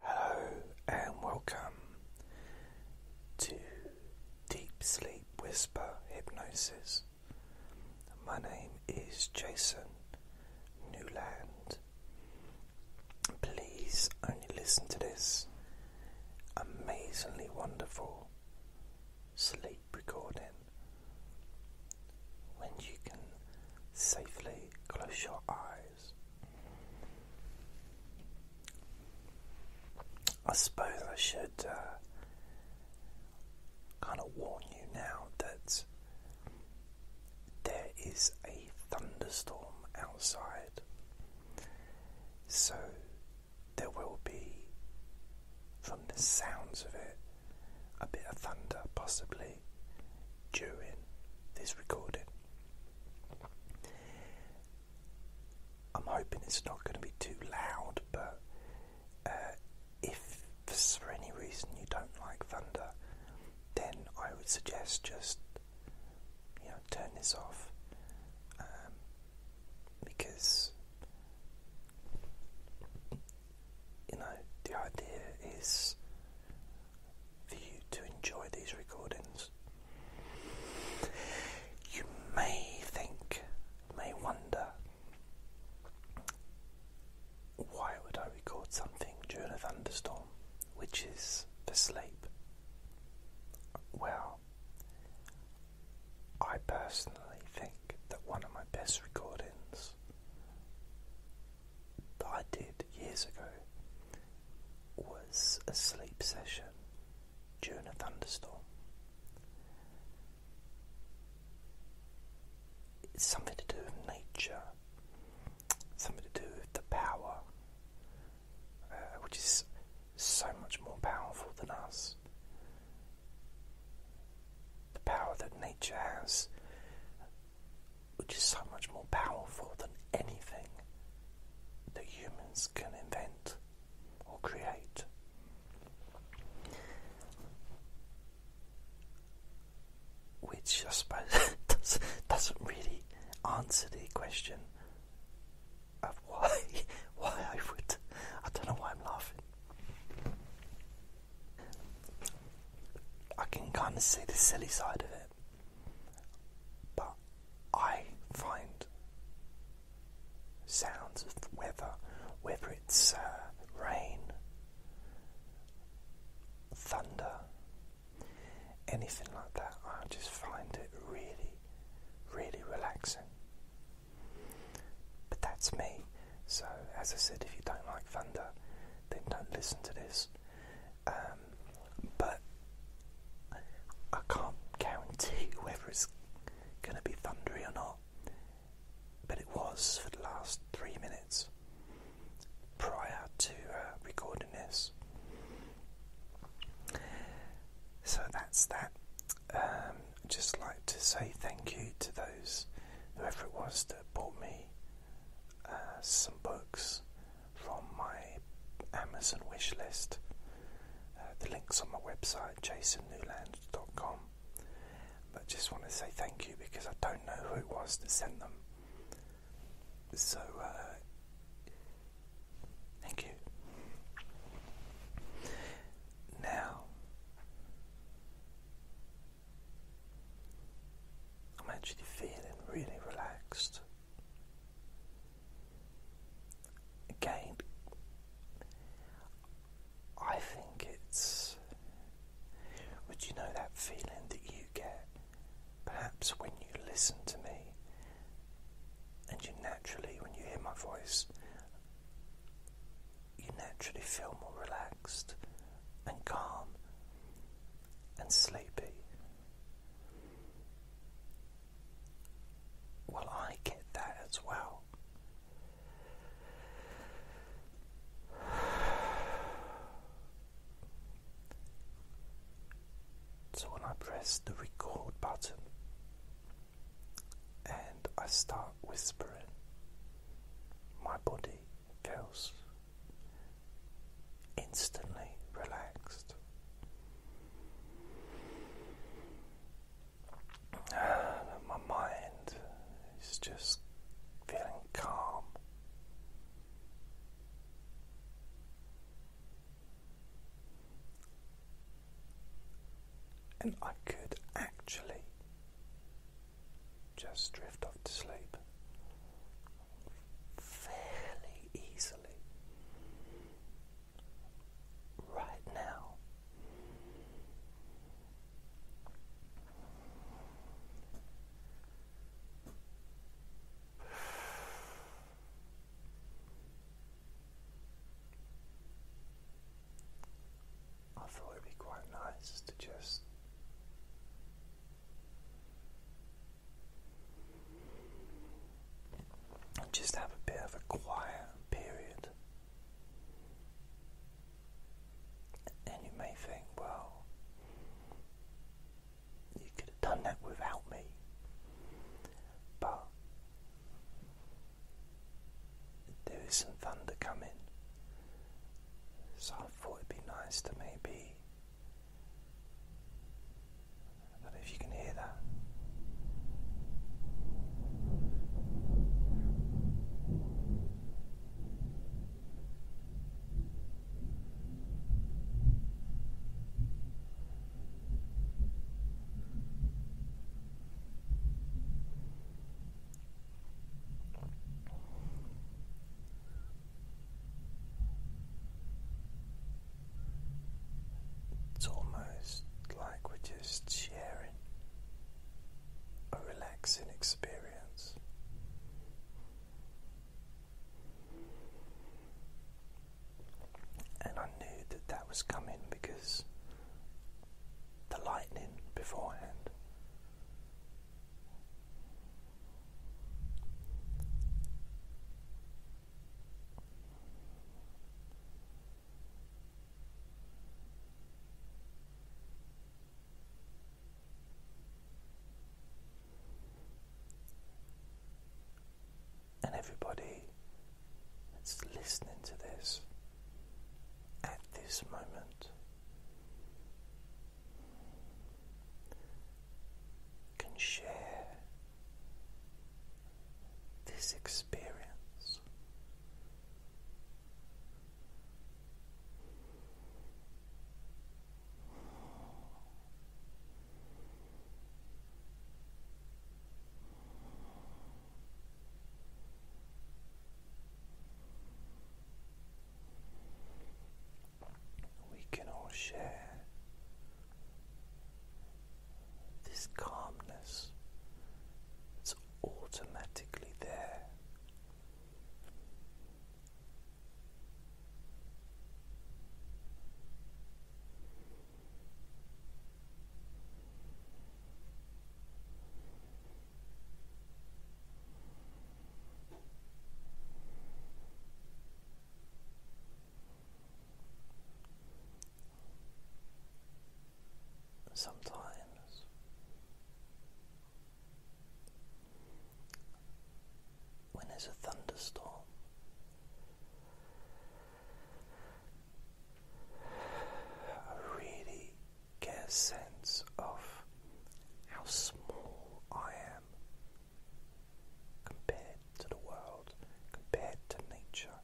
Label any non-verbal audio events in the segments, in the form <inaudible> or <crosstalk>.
Hello and welcome to Deep Sleep Whisper Hypnosis. My name is Jason Newland. Please only listen to this amazingly wonderful sleep recording when you can safely close your eyes. I suppose I should uh, kind of warn you now that there is a thunderstorm outside, so there will be, from the sounds of it, a bit of thunder possibly during this recording. I'm hoping it's not going to be too loud, but uh, if for any reason you don't like thunder, then I would suggest just you know turn this off um, because you know the idea is for you to enjoy these recordings. You may think, may wonder, why would I record something during a thunderstorm, which is for sleep? Well, I personally think that one of my best recordings that I did years ago was a sleep session during a thunderstorm. It's something to do with nature, something to do with the power, uh, which is so much more powerful than us. The power that nature has which is so much more powerful than anything that humans can invent or create. Which I suppose <laughs> doesn't really answer the question of why <laughs> why I would I don't know why I'm laughing. I can kind of see the silly side of it. But I find sounds of weather, whether it's uh, rain, thunder, anything like that, I just find it really, really relaxing. But that's me. So, as I said, if you don't like thunder, then don't listen to this. Um, but I can't guarantee whether it's going to be thundery or not. But it was for the last three minutes prior to uh, recording this. So that's that. Um, just like to say thank you to those, whoever it was that bought me uh, some books from my Amazon wish list. Uh, the link's on my website, jasonnewland.com. But just want to say thank you because I don't know who it was that sent them. So, uh, thank you. Now, I'm actually feeling really relaxed. Again, I think it's. Would you know that feeling that you get perhaps when you listen to me and you naturally, when you hear my voice, you naturally feel more relaxed and calm and sleepy. Well, I get that as well. So, when I press the record button and I start whispering, my body feels instantly relaxed. <sighs> my mind is just feeling calm. And I could actually just drift off to sleep fairly easily right now. I thought it'd be quite nice to just and just have a bit of a quiet period. And you may think, well, you could have done that without me. But there is some thunder coming. So I thought it'd be nice to maybe I don't know if you can hear that. It's almost like we're just sharing a relaxing experience. And I knew that that was coming because the lightning beforehand and everybody that's listening to this at this moment, can share this experience we can all share this calmness that's automatically there. Sometimes when there's a thunderstorm, I really get a sense of how small I compared to the world, compared to nature.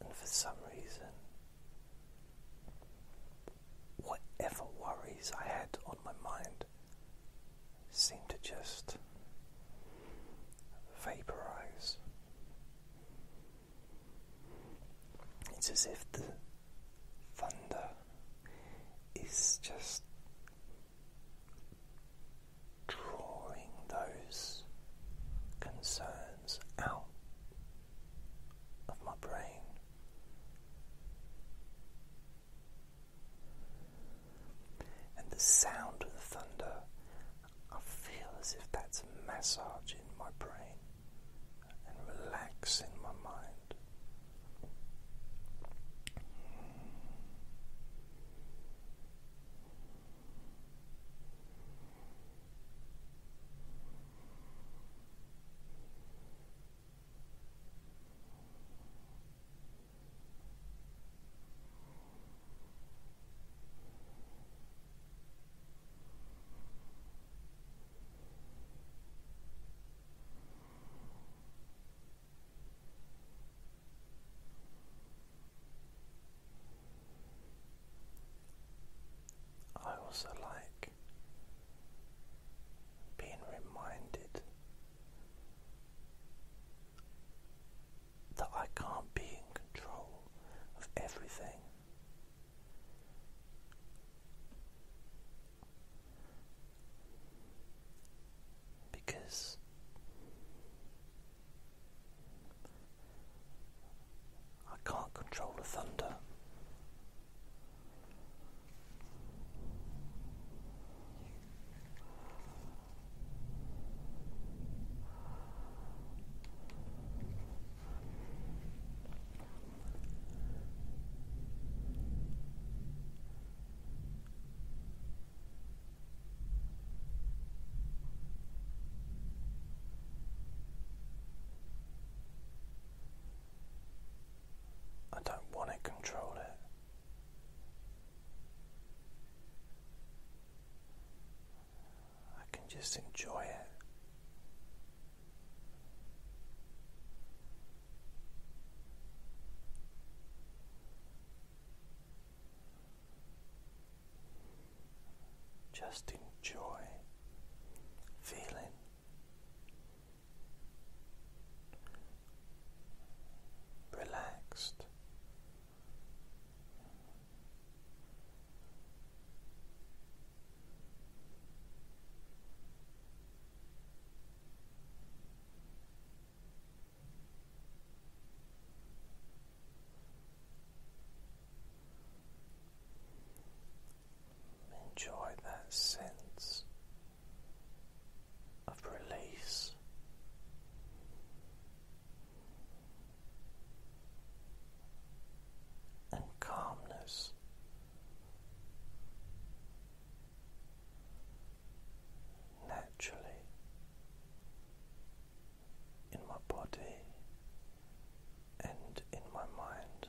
And for some reason, whatever worries I had on my mind seemed to just vaporize. It's as if the thunder is just drawing those concerns out of my brain. And the sound of the thunder I feel as if that's massaging my brain and relaxing my mind. I also like being reminded that I can't be in control of everything. Because I can't control the thunder. I don't want to control it. I can just enjoy it. Just enjoy feeling relaxed Enjoy that sense of release and calmness. Naturally in my body and in my mind,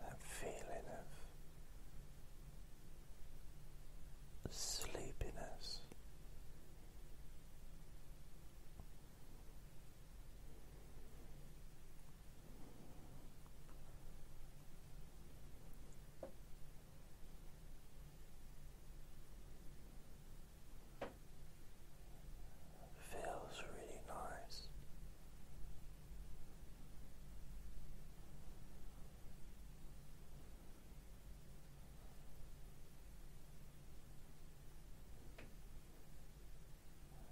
That feeling of sleepiness. Feels really nice.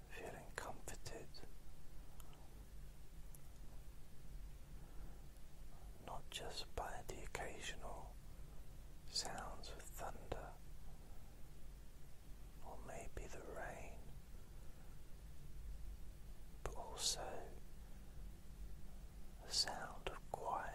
Feeling comforted, not just by the occasional sounds of thunder or maybe the rain, but also the sound of quiet.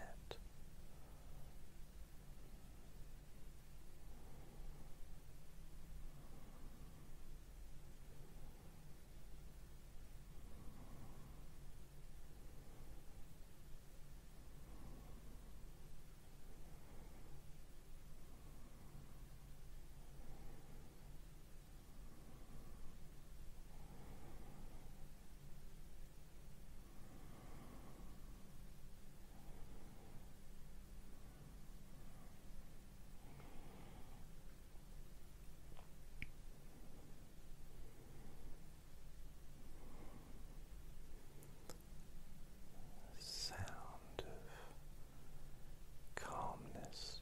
Sound of calmness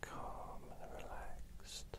Calm and relaxed.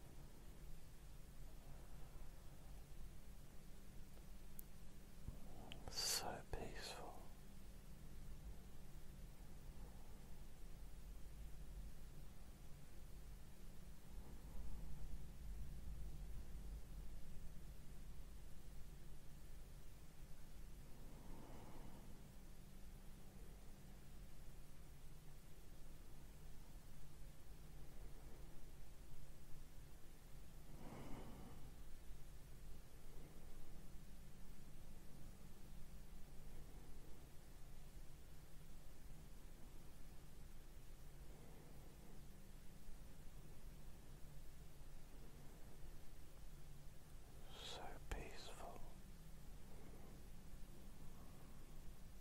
So peaceful. So peaceful,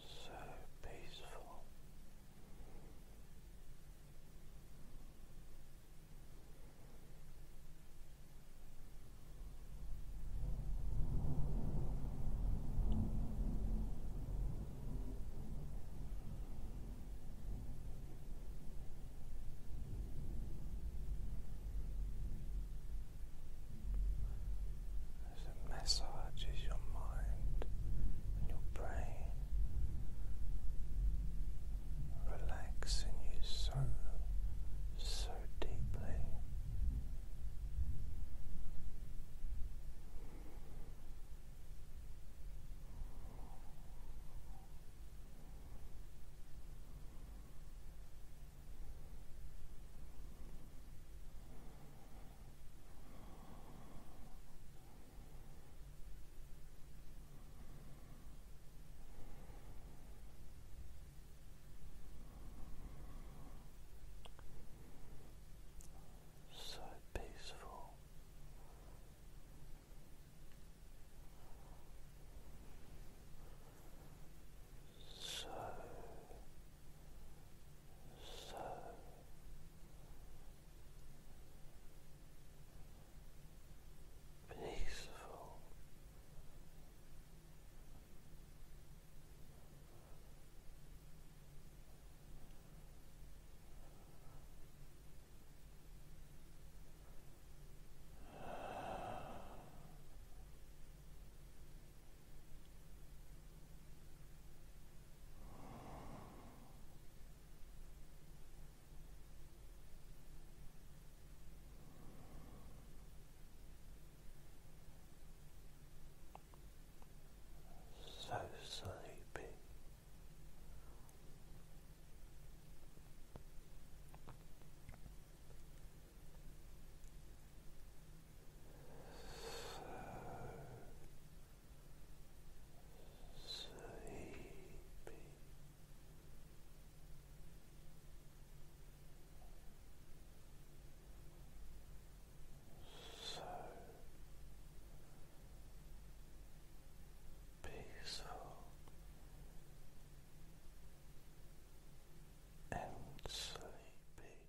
So peaceful, as it massages your mind and your brain relaxing you so, so deeply. So peaceful. So, so, peaceful. Relax. So sleepy. So sleepy. So peaceful and sleepy.